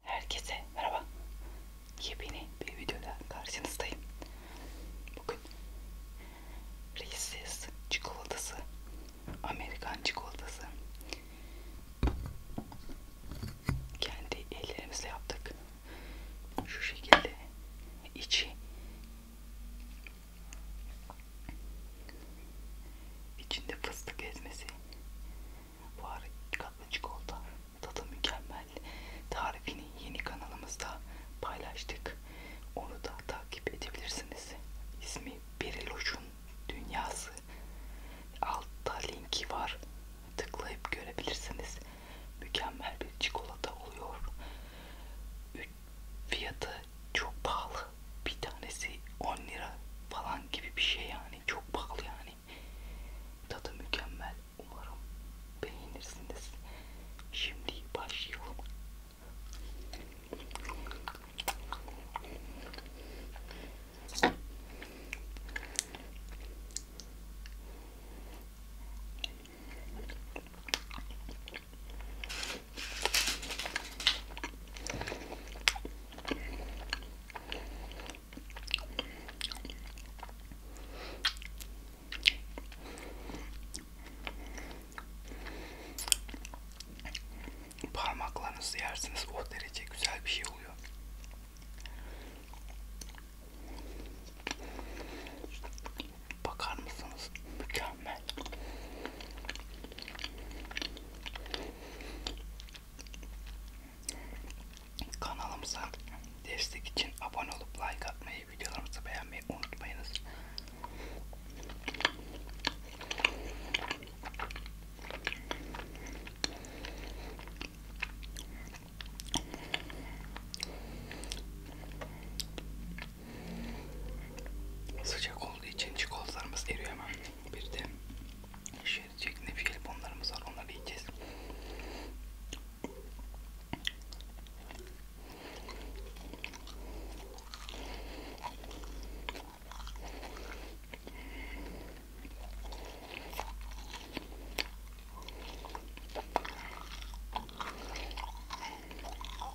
Herkese merhaba. Yepyeni bir videoda karşınızdayım. Bugün Reese's çikolatası, Amerikan çikolatası kendi ellerimizle yaptık. Şu şekilde içi içinde fıstık ezmesi Buhar katma çikolata tadı mükemmel tarifini yeni kanalımızda paylaştık. Onu da takip edebilirsiniz. İsmi Beriloş'un Dünyası. Altta linki var. Tıklayıp görebilirsiniz. Mükemmel bir çikolata oluyor. Fiyatı çok pahalı. Bir tanesi 10 lira falan gibi bir şey yani yani çok pahalı yani tadı mükemmel umarım beğenirsiniz şimdi başlayalım Parmaklarınızı yersiniz o oh, derece güzel bir şey oluyor. Bakar mısınız? Mükemmel. Kanalımıza destek için abone olup like atmayı, videolarımızı beğenmeyi unutmayınız. Sıcak olduğu için çikolatalarımız eriyor hemen. Bir de şeritçek nefis bonlarımız şey var. Onları yiyeceğiz.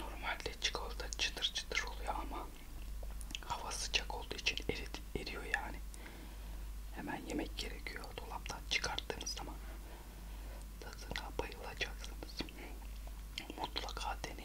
Normalde çikolata çıtır çıtır oluyor ama hava sıcak olduğu için erit, eriyor yani. Hemen yemek gerekiyor. Dolaptan çıkarttığınız zaman tadına bayılacaksınız. Mutlaka deneyin.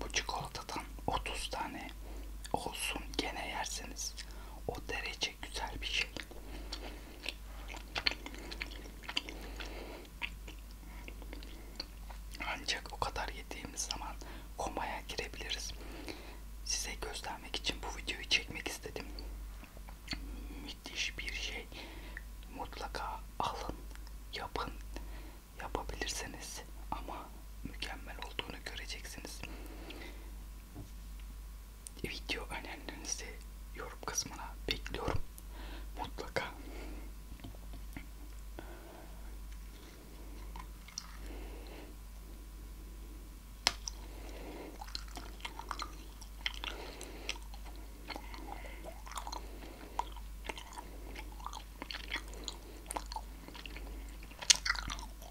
Bu çikolatadan 30 tane olsun gene yersiniz. O derece şey güzel bir şey. Ancak o kadar yediğimiz zaman komaya girebiliriz. Size göstermek için bu videoyu çekmek istedim. Müthiş bir şey. Mutlaka alın, yapın. Yapabilirseniz ama mükemmel olduğunu göreceksiniz video önerilerinizi yorum kısmına bekliyorum mutlaka.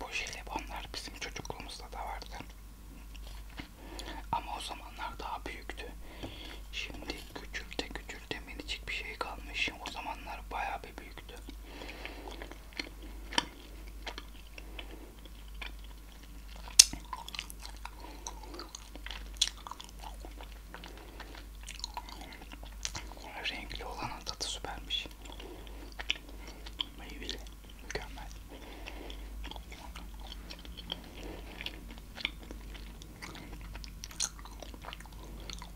Bu jelibonlar bizim çocukluğumuzda da vardı. Ama o zamanlar daha büyüktü. Şimdi küçülte küçülte minicik bir şey kalmış. O zamanlar bayağı bir büyüktü. Renkli olanın tadı süpermiş. Meyveli. Mükemmel.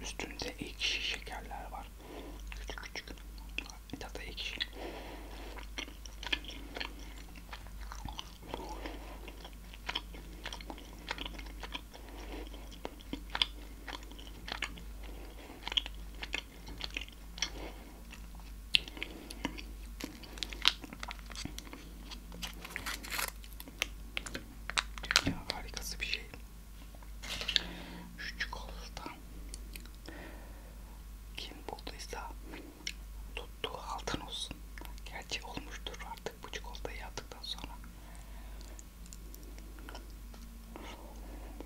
Üstünde ekşi şekerler var. Küçük küçük. Tadı ekşi. Dünya harikası bir şey. Şu çikolata kim bulduysa tuttuğu altın olsun. Gerçi olmuştur artık bu çikolatayı attıktan sonra.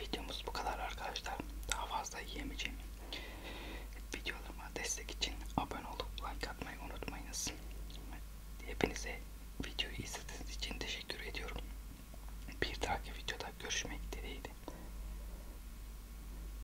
Videomuz bu kadar arkadaşlar. Daha fazla yiyemeyeceğim. Videolarıma destek için abone olup like atmayı unutmayınız. Hepinize videoyu izlediğiniz için teşekkür ediyorum. Bir dahaki videoda görüşmek dileğiyle.